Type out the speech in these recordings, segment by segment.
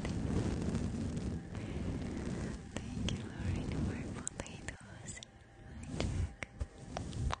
Thank you, Lauren, for potatoes. Hi, Jack.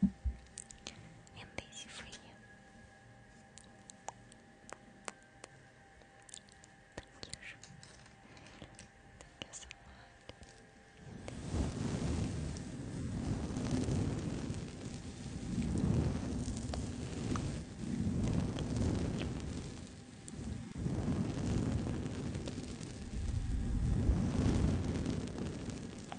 and easy for you. Thank you. Thank you so much. Thank you.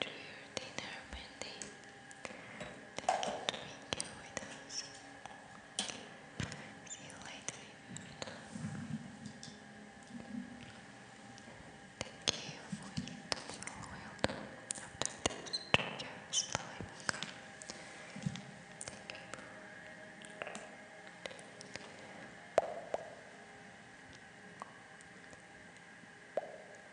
to your dinner, Mindy. Thank you to being with us. See you later. Thank you for you to follow well after this trigger slowly back Thank you.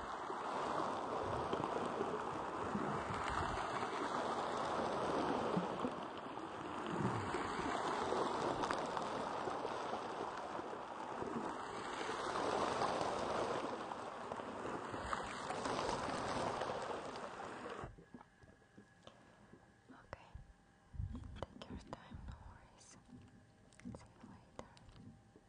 Okay, take your time, no worries. See you later.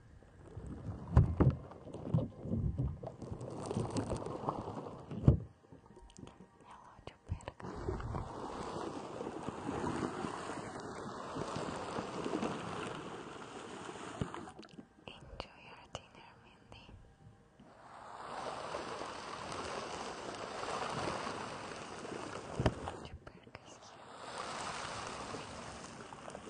Relógio perca. Enjoy your dinner, Mindy. Relógio perca. Thank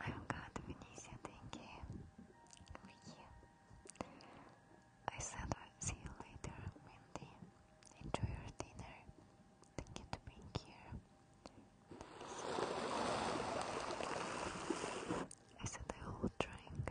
I'm good, Venetia, thank you. Vicky. I said I'll see you later, Wendy. Enjoy your dinner. Thank you to being here. I said I will drink.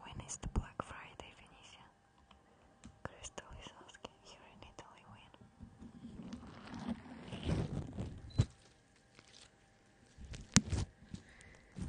When is the Black Friday, Venetia? Crystal is asking here in Italy when.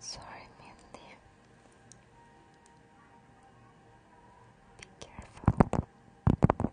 Sorry, Mindy. Be careful.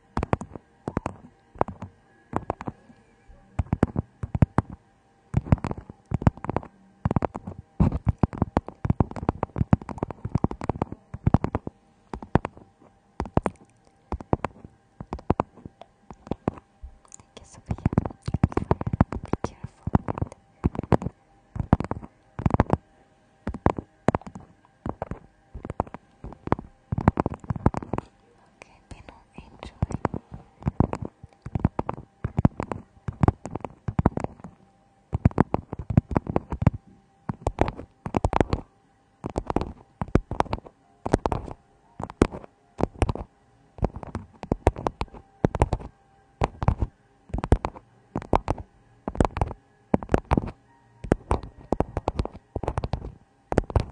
I guess over here. Be careful. And Okay, Pino, enjoy. Okay, be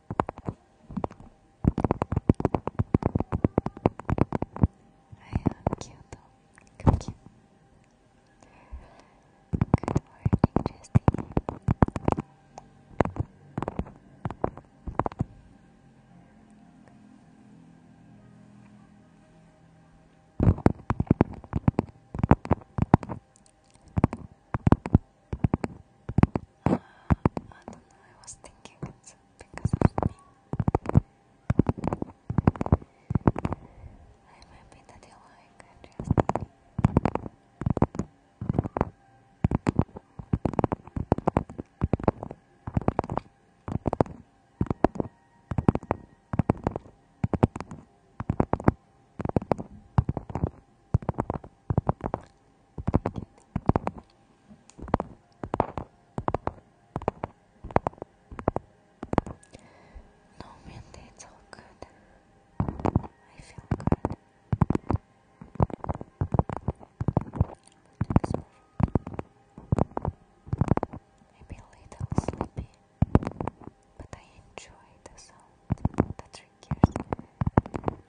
I am cute though. Good morning, Justine. I don't know, I was thinking because of me. I'm happy that you like no, Mindy, it's all good. I feel good. Maybe a little sleepy, but I enjoy the sound that triggers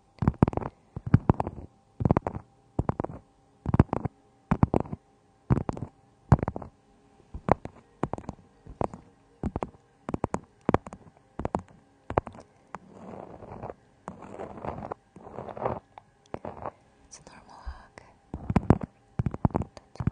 It's a normal hug. That's all.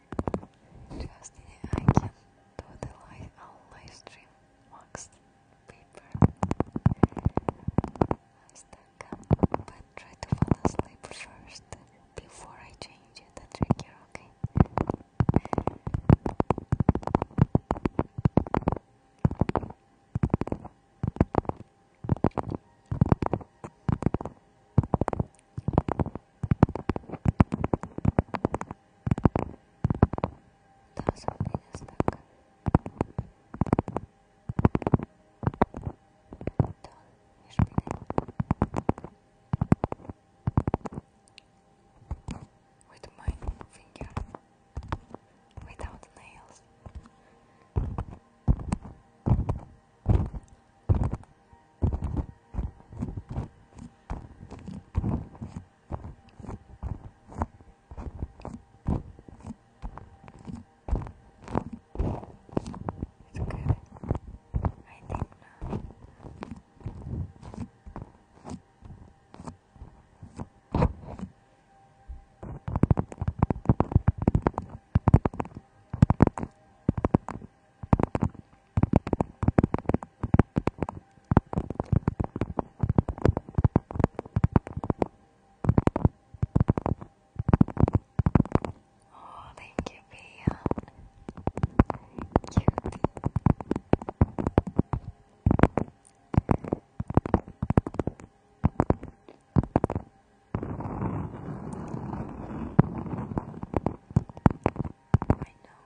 Just I can do the live live stream wax paper. I stuck up, but try to fall asleep first before I change the trigger, okay? That was something that stuck. To już With my finger, without nails. It's okay. I think now. Oh, thank you, Bea. Cutie. I know.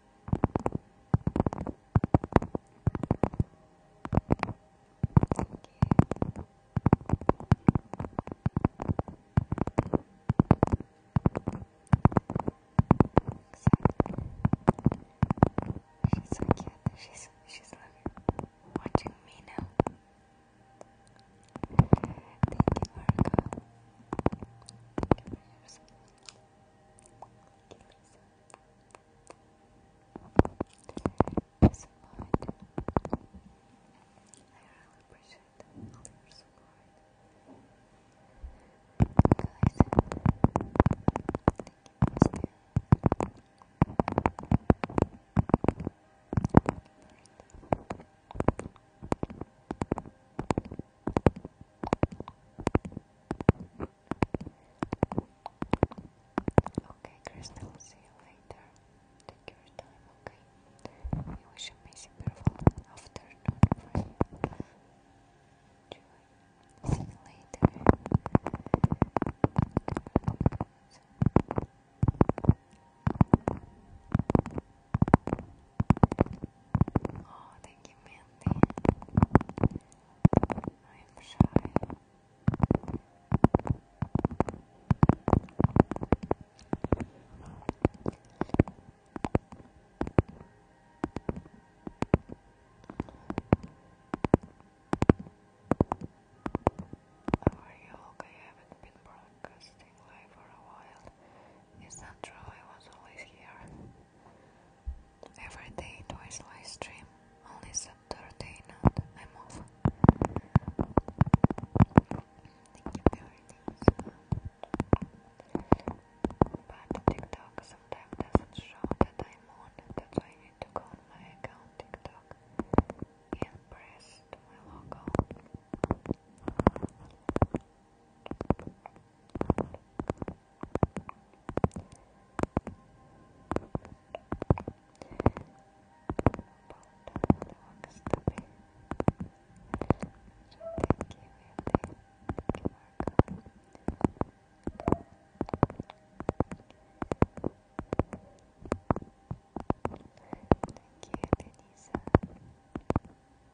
She's so cute. She's she's looking, watching me now. Thank you, Marco. As support. I really appreciate all your support. thank you Okay, Crystal, see you later. Take your time, okay? We wish a busy, beautiful afternoon for See you later. Oh, thank you, Mandy. I am shy. are you? Okay, I haven't been broadcasting live for a while. Is that true? I was always here. Every day twice live stream, only Saturday night I'm off. Thank you But TikTok sometimes doesn't show that I'm on, that's why I need to go on my account TikTok and press my logo. Thank you, Denisa. Thank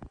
you,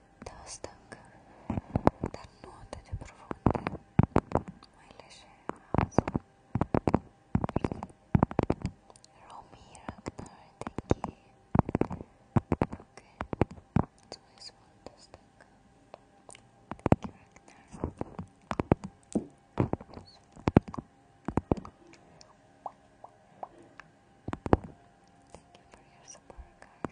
dalla stanca, dannodate profonde, mai leggere thank you. Okay, so this one, the stanca. Thank you for your support, guys.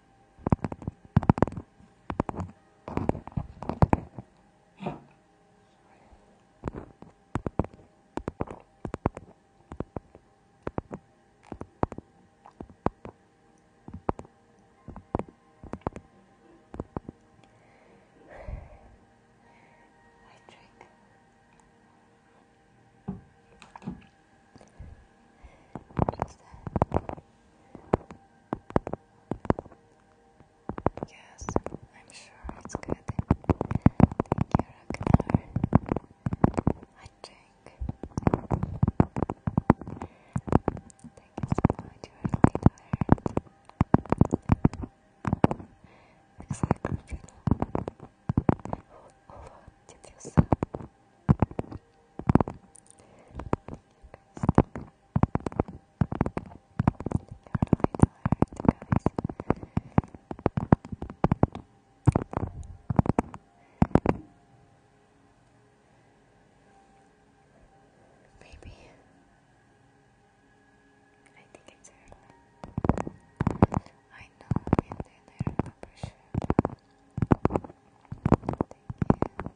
I drink. What's that? Yes, I'm sure it's good. Thank you, Ragnar. I think. Thank you so much, you are really tired. It's like a did you say? Maybe I think it's early. I know, and then I remember Thank you.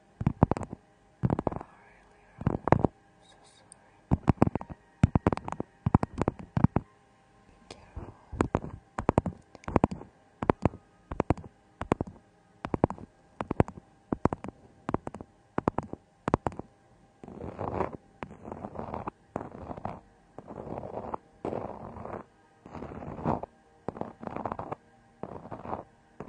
so sorry. Be careful. Thank I'm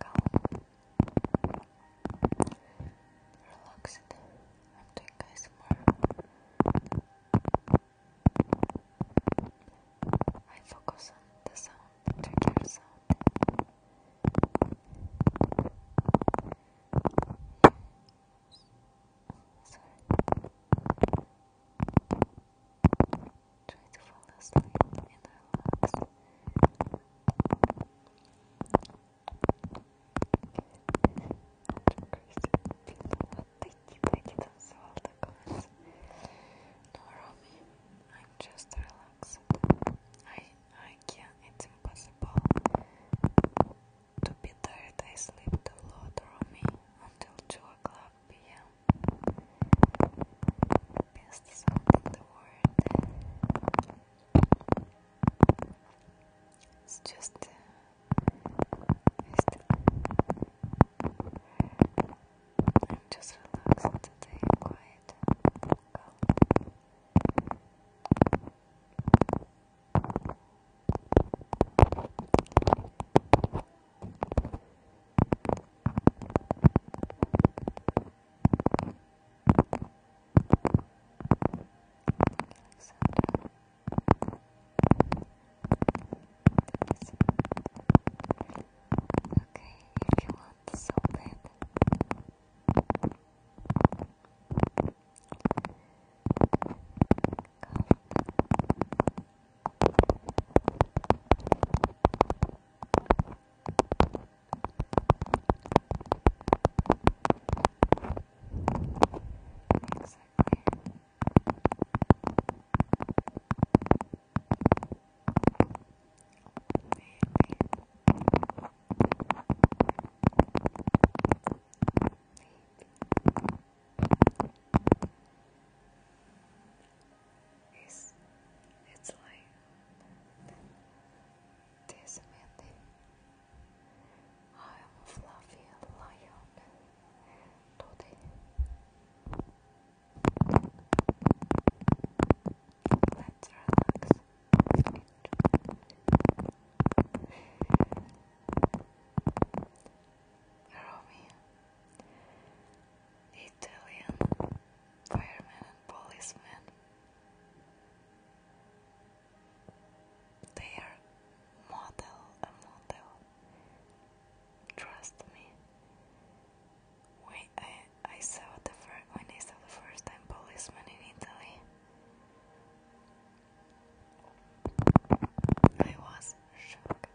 calm. Relaxed. I'm doing guys more. I focus on the sound, the trigger sound. Sorry. Try to fall asleep and relax. Romy, I'm just relaxed. I, I can't. It's impossible to be tired. I slept a lot, Romy, until two o'clock p.m. Best sound in the world. It's just uh, I'm just relaxed today, quiet, Okay, if you want to solve it. Exactly. Maybe. It's, like this, Mandy. I am a fluffy lion today. let Italian fireman and policeman. They are model, a model. Trust me. We, I, I saw the first when I saw the first time policeman in Italy. I was shocked.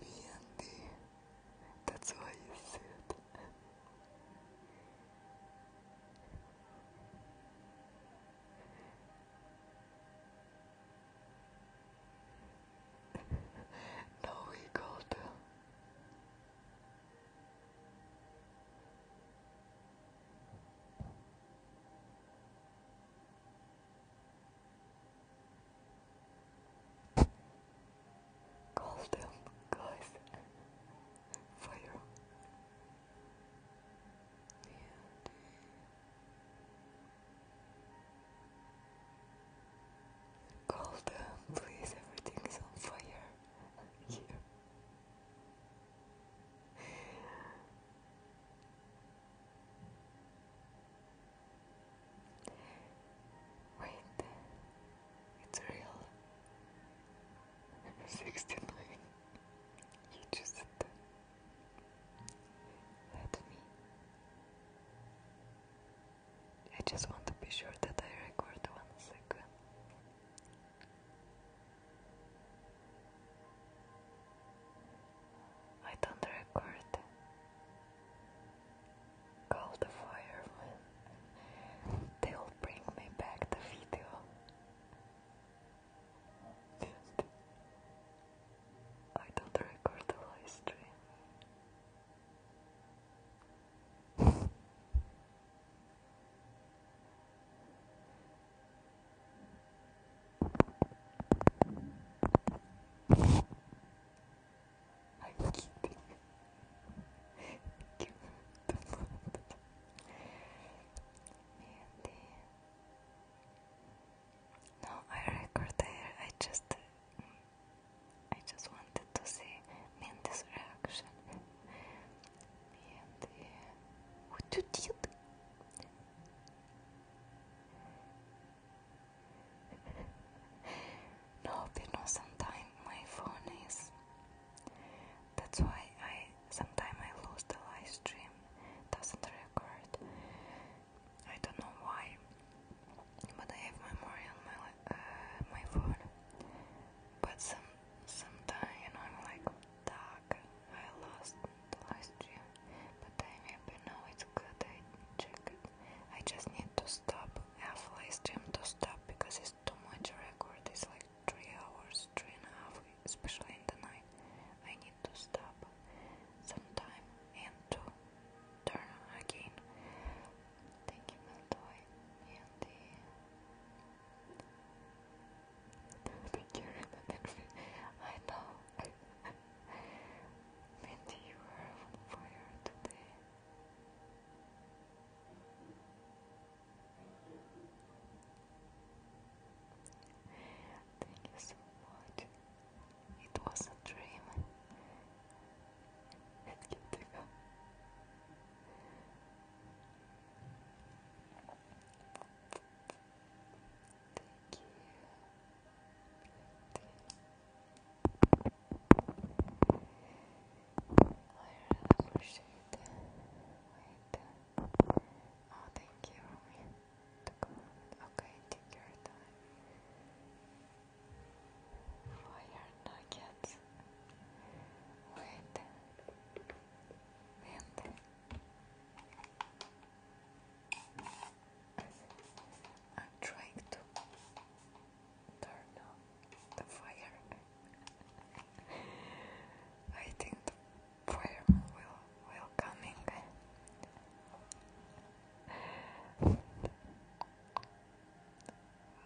Mianti, that's why you said. now we got. Uh, Call them guys fire Call them, please. Everything is on fire here. Wait, it's real. 69. You just let me. I just want to be sure that I record one second. I don't record call the firemen they'll bring me back the video I don't record the live I'm kidding. Give the and then... No, I record I just, I just wanted to see Mindy's reaction no, you sometimes my phone is. That's why I sometimes I lose the live stream. Doesn't record. I don't know why, but I have memory on my uh, my phone. But some sometimes I'm like, dark. I lost last year, but I remember now it's good. I check it. I just need to stop half live stream to stop because it's too much record. It's like three hours, three and a half, especially in the night. I need to stop sometime and to turn again. Thank you, Meltoy, and the Thank you, Rebecca. I know. Mindy, you are on fire today. Thank you so much. It was a dream. Let's get to go. Thank you. Thank you. Oh, thank you, Okay, take your time. Fire nuggets. Wait. I'm trying to turn on the fire. I think the fireman will will coming. One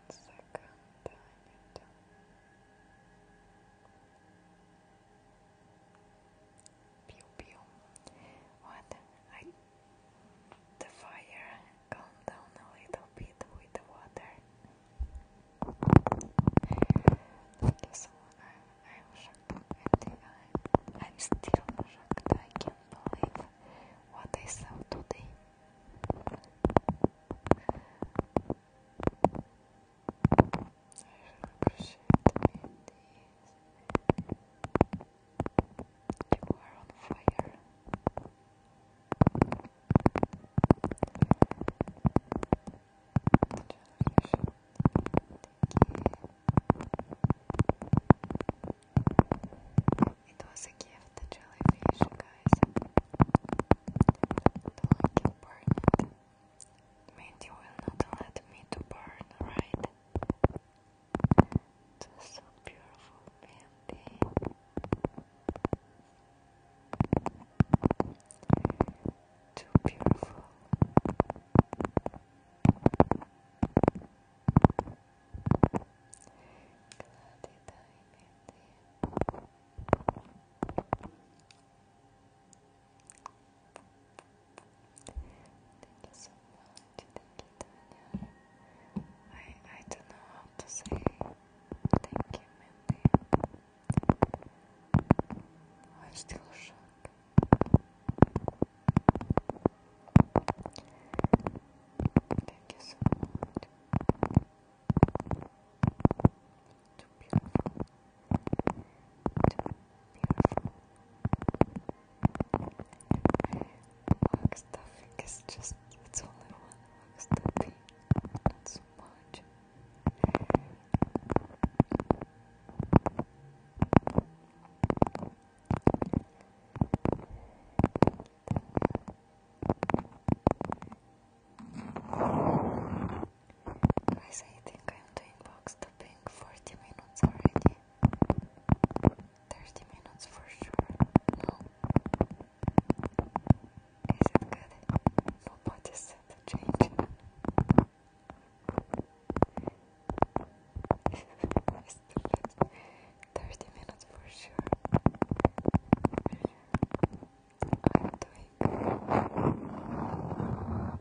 second, Pew pew. What? I the fire calmed down a little bit with the water. Thank you so much. I'm, shocked. I'm still shocked. I can't believe what I saw today appreciate the indies. You are on fire. Generation. It was a gift, the jellyfish, guys. Don't like it, Mindy will not let me to burn, right? That's beautiful, Mindy. Too beautiful. Glad you died, Mindy. Thank you I don't know how to say thank you, Mindy. I'm still shocked. Thank you so much too beautiful, too beautiful. Work stuffing is just, it's only one work stuffing, not so much. I think I'm doing box topping 40 minutes already. 30 minutes for sure. No. Is it good? Nobody said to change. it's too 30 minutes for sure. I'm doing.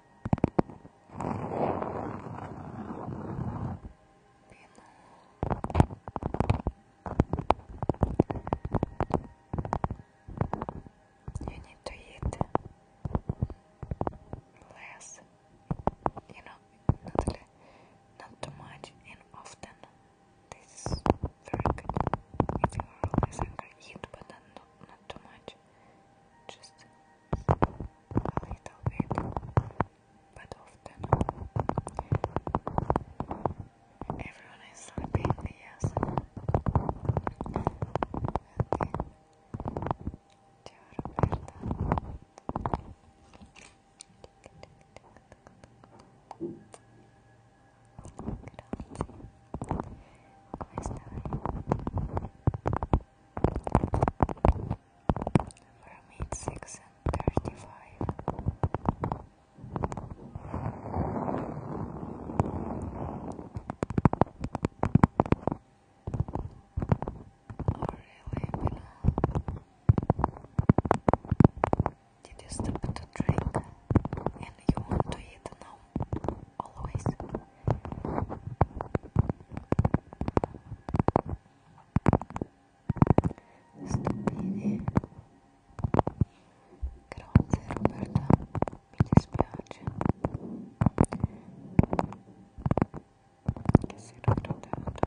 You need to eat less, you know, not, too much and often. This very good. If you are always hungry, eat, but not, not too much. Just a little bit, but often. Everyone is sleeping, yes. Okay. Ciao Roberta. Grazie. Come from it six and thirty five. Oh Did you stop to drink? And you want to now? Always. Sto bene. Grazie Roberta, mi dispiace che sei raffreddato.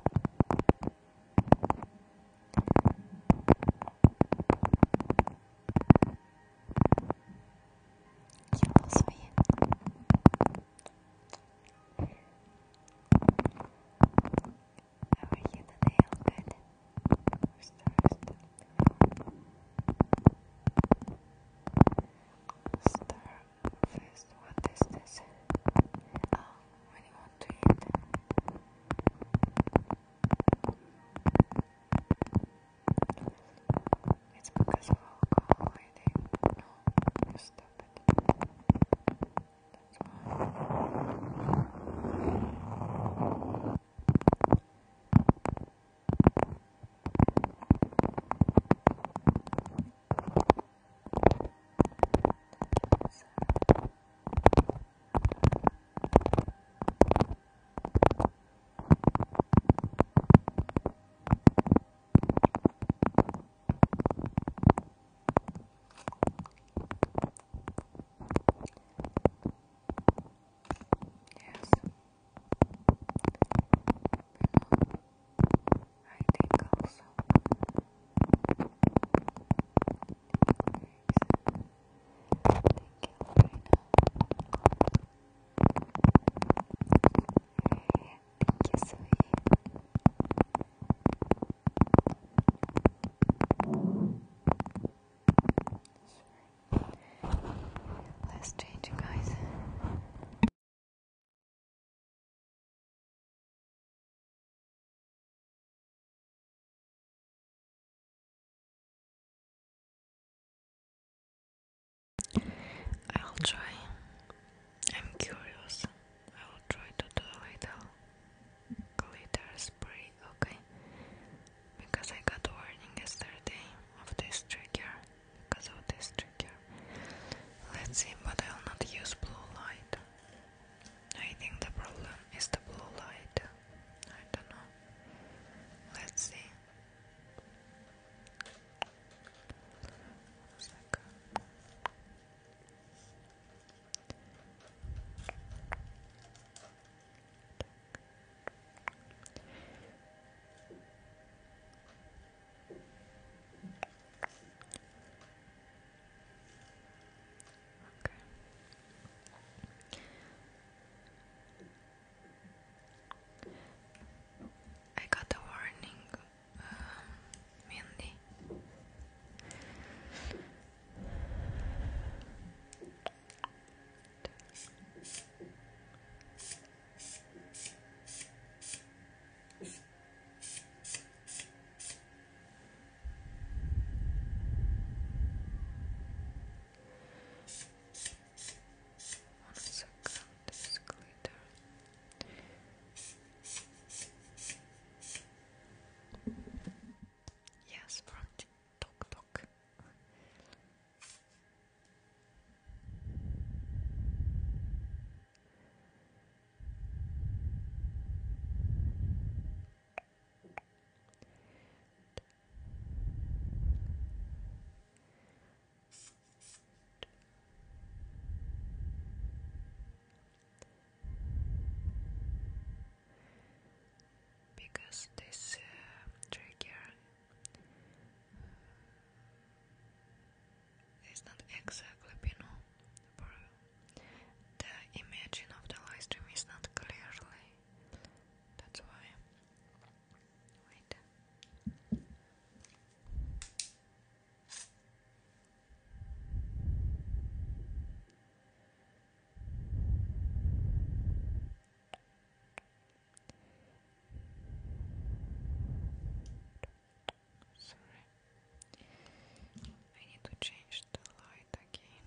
Io lo so io. How are you We're starting. Star first, what is this? Oh, when you want to eat. It's because of alcohol, I think. No, you stupid. That's why. So. Thank you Yes. I think also Thank you, Lorena. Thank you, sweet. Let's change, guys. I'll try. I'm curious. I will try to do a little glitter spray, okay? Because I got warning yesterday of this trigger. Because of this trigger. Let's see, but I'll not use blue light. I think the problem is the blue light. I don't know. Let's see. I got a warning Mindy. One second, this glitter. Yes, from Tok Tok because this uh, trigger uh, is not exactly you know, the image of the live stream is not clearly that's why wait Sorry. I need to change the light again.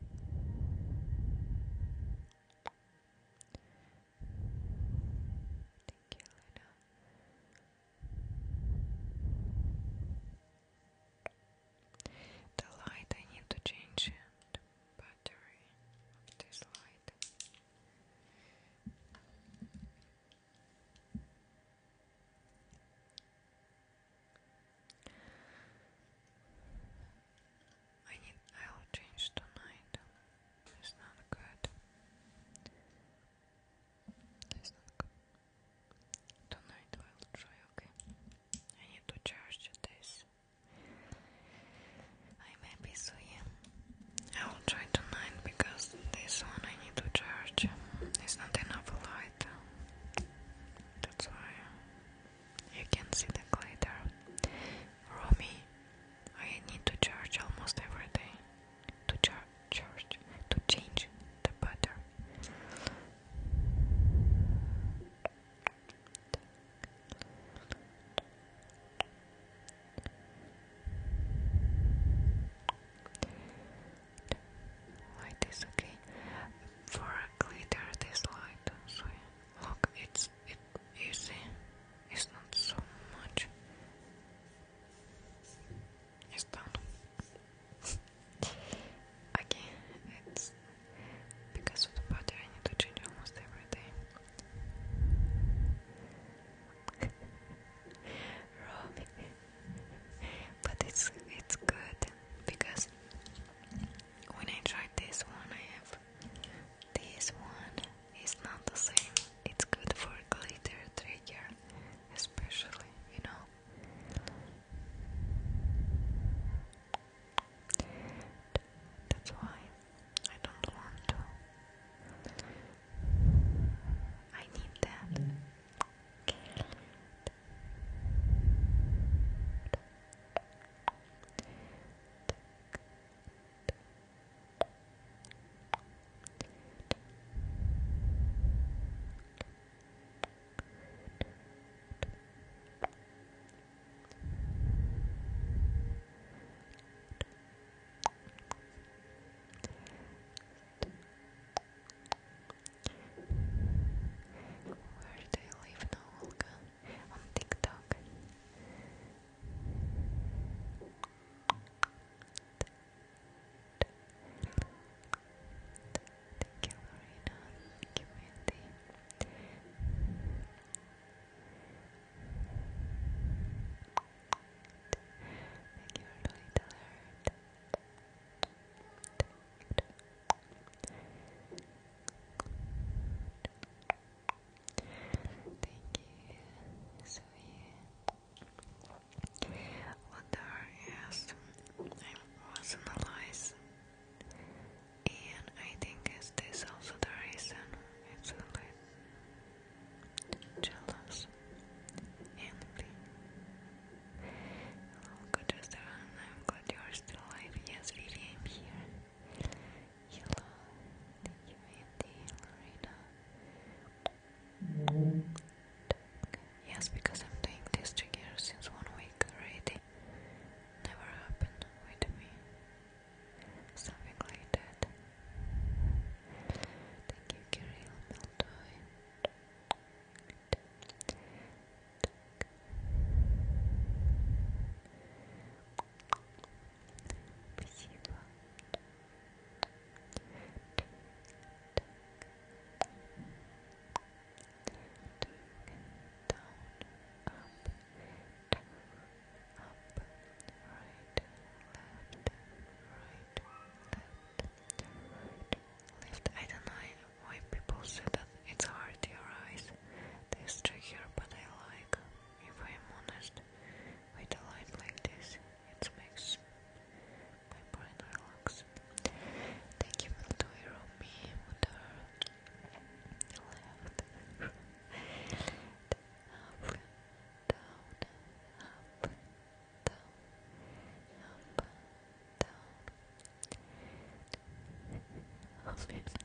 Thank you, The light, I need to change the battery this light. I need I'll change tonight. It's not good. That's not good. Tonight I'll try, okay? I need to charge this. I may be so I will try tonight because this one I need to charge. It's not enough light. That's why you can see the glitter. Romy, I need to charge almost every day. To charge, to change the butter. Light is okay for glitter. This light, so yeah. look, it's it you it's not so much. It's done. okay, it's because of the butter I need to change almost every day. Robbie. but it's it's good because when I tried this one I have this one is not the same. It's good for glitter trigger, especially, you know. That's why I don't want I need that. Where do you live now, on TikTok. Thank you, Marina. Thank you, Thank you, Lily Dillard. Thank Thank you, Thank you, sweet. Wonder, yes, I was analyzed. And I think is this also the reason it's a little jealous, envy. Hello, good restaurant. I'm glad you are still alive. Yes, Vivi, I'm here. Yellow, thank you, Andy, Yes, because I'm doing this trigger since one week already. Never happened with me. Something like that. Thank you, Kirill Meltoy. Спасибо. Down, up, down, up, right, left, right, left, I do why people say that it's hard to your This trick here, but I like. If I am honest, with a light like this, it makes my brain relax. Thank you for the toy me with her left, up, down, up, down, up, down.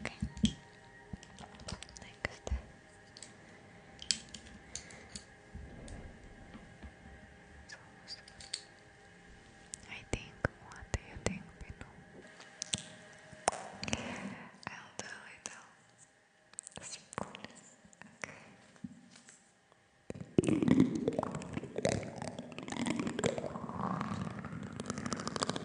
Okay. Next. I think. What do you think, Pino? I'll do a little. Okay.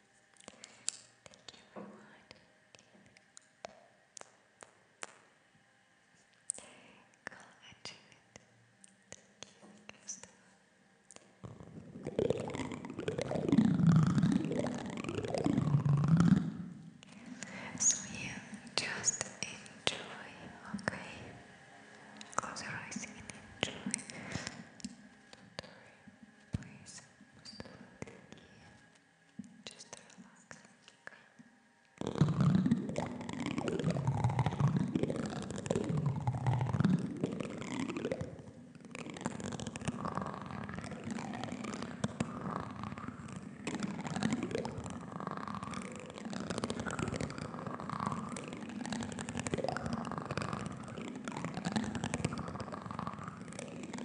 Thank you for watching. Go achieve it. So you just enjoy, okay? Close your eyes and enjoy. please relax. Just relax. Relax.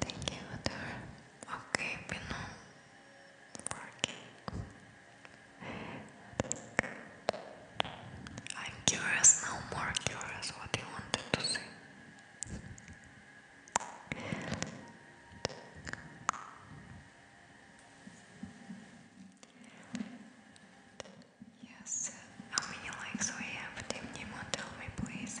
Thank you, Adar. Okay, we know. Working. I'm curious now, more curious what you wanted to say. Yes, how many likes we have, tell me please.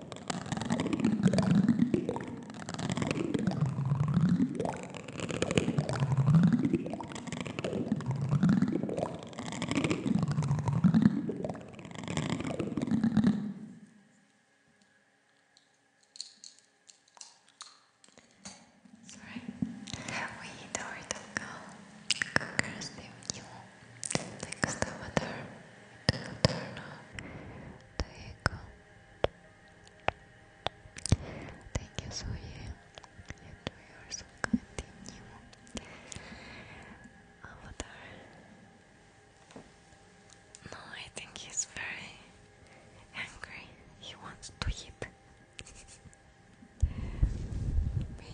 Sorry, we do it all go curse you. Thanks to Mother, to Materna. There you go. Thank you, Zoe. And we are so kind to you. Avatar. No, I think he's very angry. He wants to eat.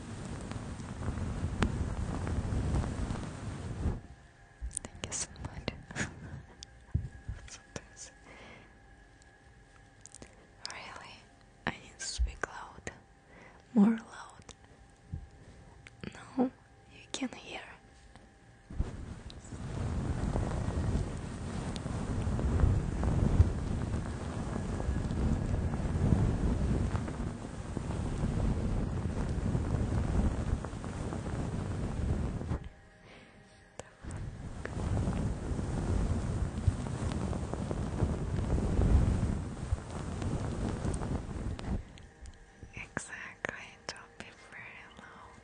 Thank you so much. really? I need to speak loud. More loud. No, you can hear. Exactly, don't be very loud.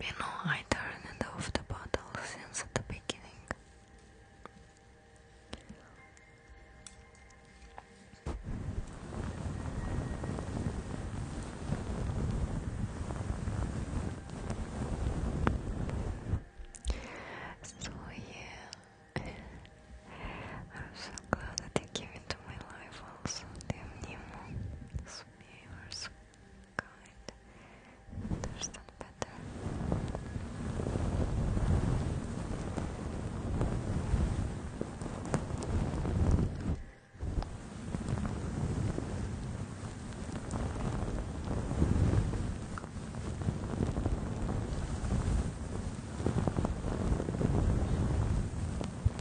You know, I turned off the bottle since the beginning. So yeah, I'm so glad that you came into my life also, dear Nemo. You are so kind. I understand better.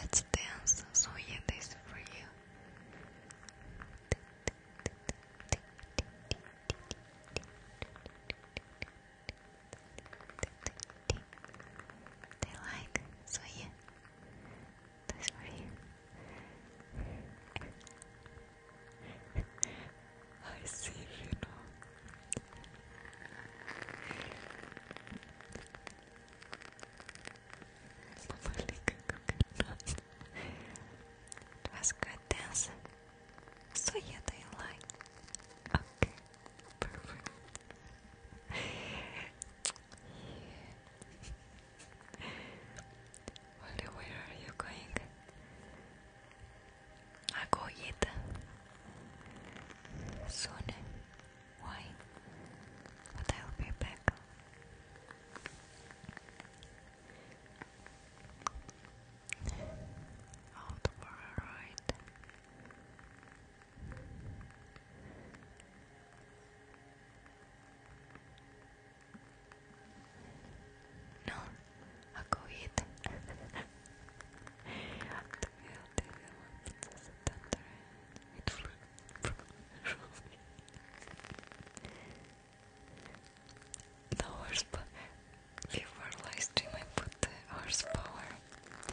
Let's dance. So yeah, this for you. They like. So yeah, this for you. I see, you know. It was good dancing. So yeah, they like. Okay, perfect. where are you going? I go eat soon. Why? But I'll be back. Out for a ride. No, I'll go eat. It flew the horsepower the horsepower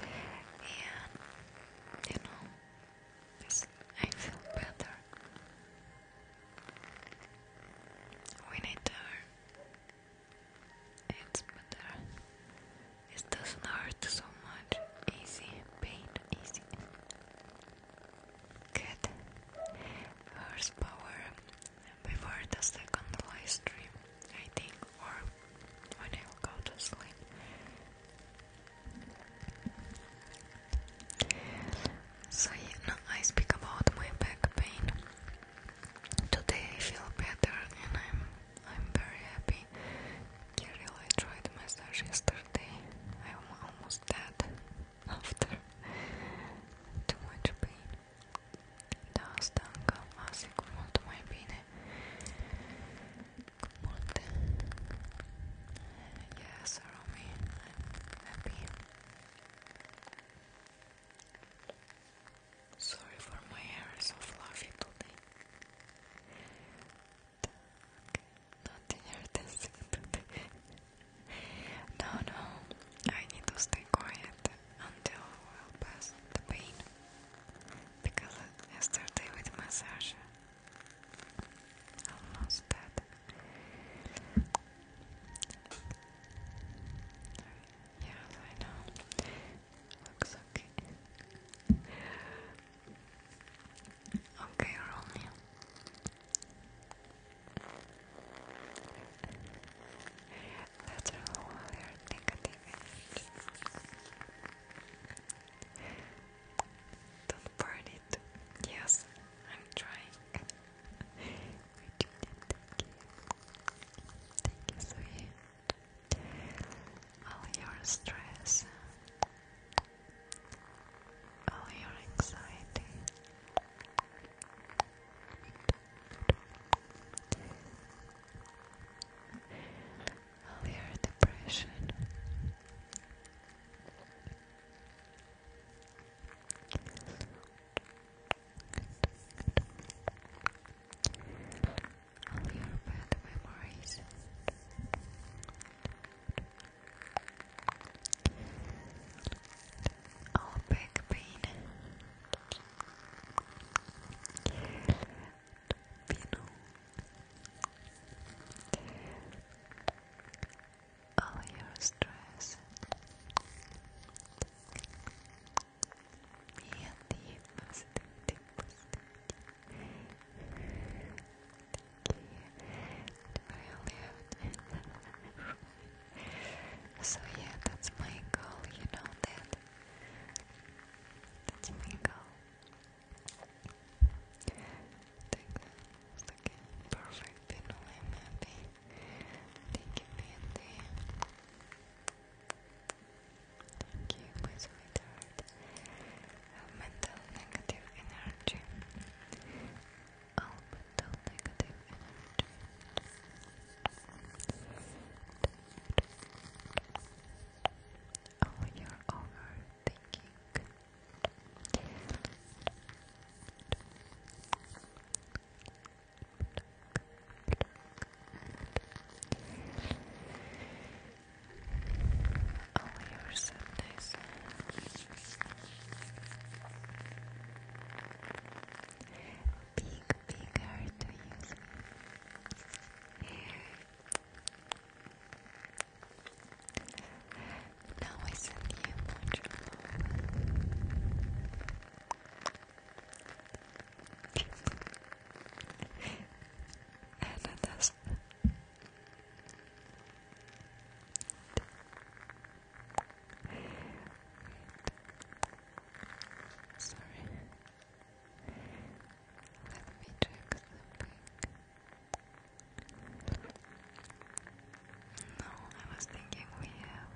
and you know I feel better when I turn it's better it doesn't hurt so much easy pain easy Good horsepower before the second live I think, or when I'll go to sleep. So, you I speak about my back pain. Today I feel better and I'm I'm very happy. Carol, I tried massage yesterday. I'm almost dead after too much pain. Da asta încă mult mai bine. multe. Yes, Romy, I'm happy. Sorry for my hair is so today. Nothing hurts. no, no, I need to stay quiet until we pass the pain. Because yesterday with massage, almost dead. Yes, I know. Looks okay. Okay, roll Let's roll while negative Don't burn it. Yes, I'm trying. Thank you. Thank you, sweet. All your stress all your anxiety. All your depression. All oh, your bad memories. Oh, back pain. Pino. Oh, All your stress. Me and the positivity, positivity. So yeah, that's my goal, you know that. That's my goal. Take that. Okay, You know I'm happy. Thank you, Thank you, mental negative energy all oh, mental negative energy all oh, your overthinking Pluck, pluck, pluck, Oh, you're so to use Now I send you much and that's Sorry. Let me check something. No, I was thinking we have.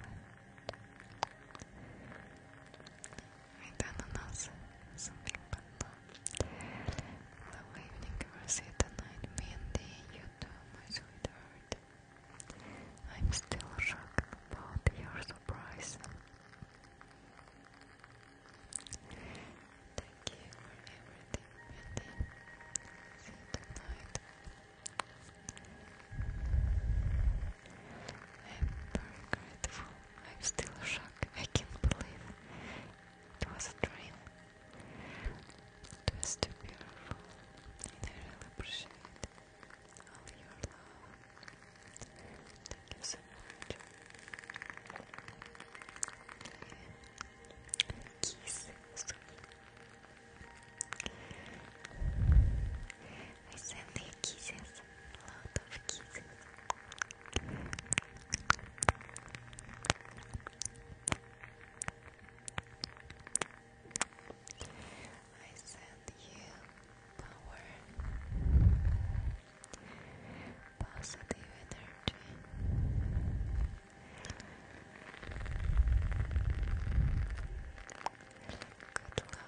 We've done enough something, but Long evening, Rosita 9pnd, you my sweetheart. I'm still shocked about your surprise. Thank you for everything, Mindy. See you I'm very grateful. I'm still shocked. I can't believe it was a dream. Just beautiful. I really appreciate all your love. Thank you so much. Kisses. I send you kisses. A of kisses. I send you power, positive energy. Good luck.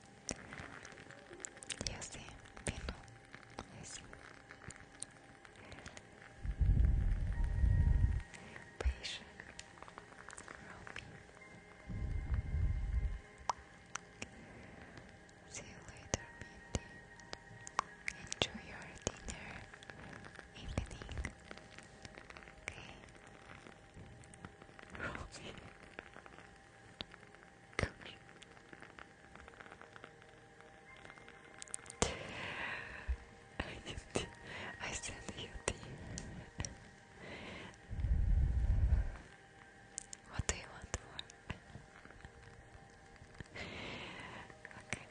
Eu sei, Pino. Eu sei. See you later, Mindy. Enjoy your dinner evening. Okay. I need send you tea. What do you want more? okay.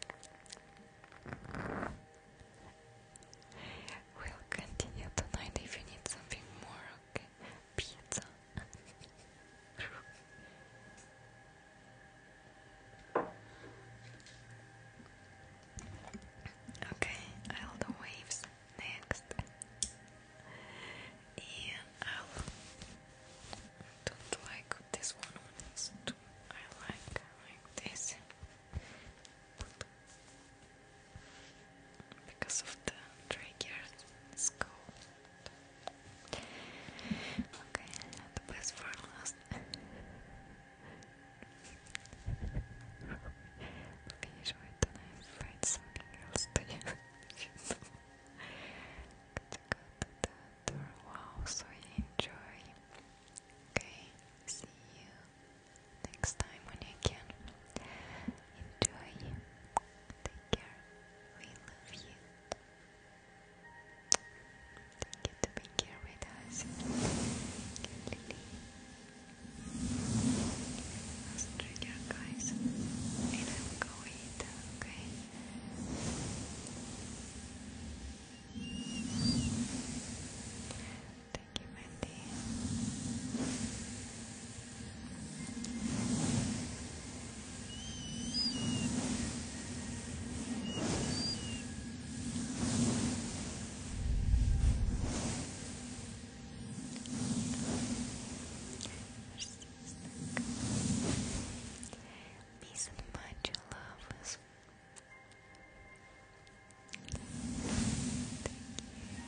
We'll continue tonight if you need something more, okay? pizza. okay, I'll waves next. And i don't like this one. I like this because of the triggered scope. Okay, the best for last. okay, usually then I find something else Wow, so enjoy. Okay, see you next time when you can. Enjoy. Take care. We love you. Thank you to be here with us. Let's trigger, guys. I will go okay? Thank you, Mandy. Peace and mind, your lovers. Thank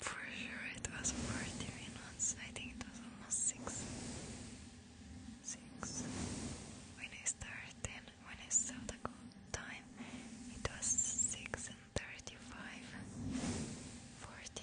For sure it was 40 minutes, I think it was almost 6 6 When I started, when I saw the time, it was 6 and 35 40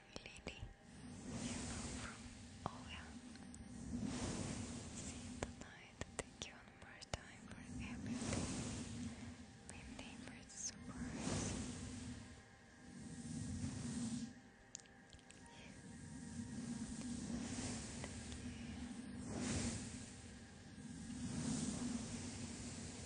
lily, yellow from Oya. See you tonight. Thank you one more time for everything. My favorite surprise. Thank you.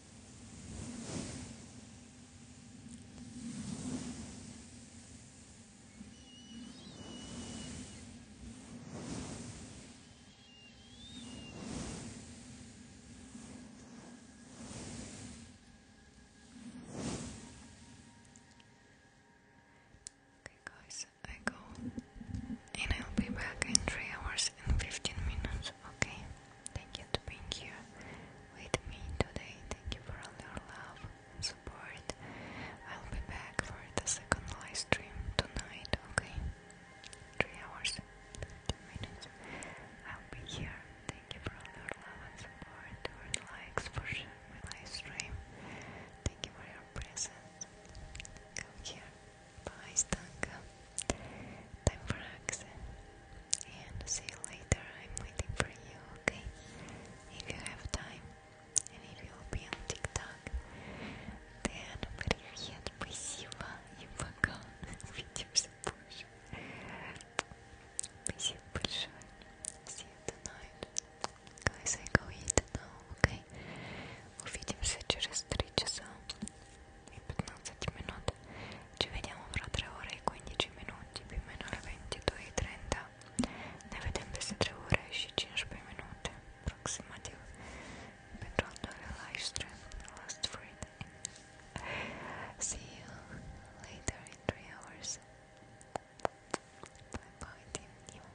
Okay guys, I go and I'll be back in 3 hours and 15 minutes, okay? Thank you for being here with me today. Thank you for all your love and support. I'll be back for the second live stream tonight, okay? Three hours, 15 minutes. I'll be here. Thank you for all your love and support, for the likes, for sharing my live stream. Thank you for your presence. Come here. Bye, Stanka. Time for Axe. And see you later. I'm waiting for you, okay? If you have time, and if you'll be on TikTok, then привет, спасибо и пока. Увидимся позже. Спасибо большое. See you tonight. Guys, I go eat now, okay? Увидимся через 3 часа. 15 minuti ci vediamo fra 3 ore e 15 minuti più o meno alle 22.30 ne vedem peste 3 ore și 15 minute aproximativ pentru al doilea live stream last Friday see you later in 3 hours bye bye team you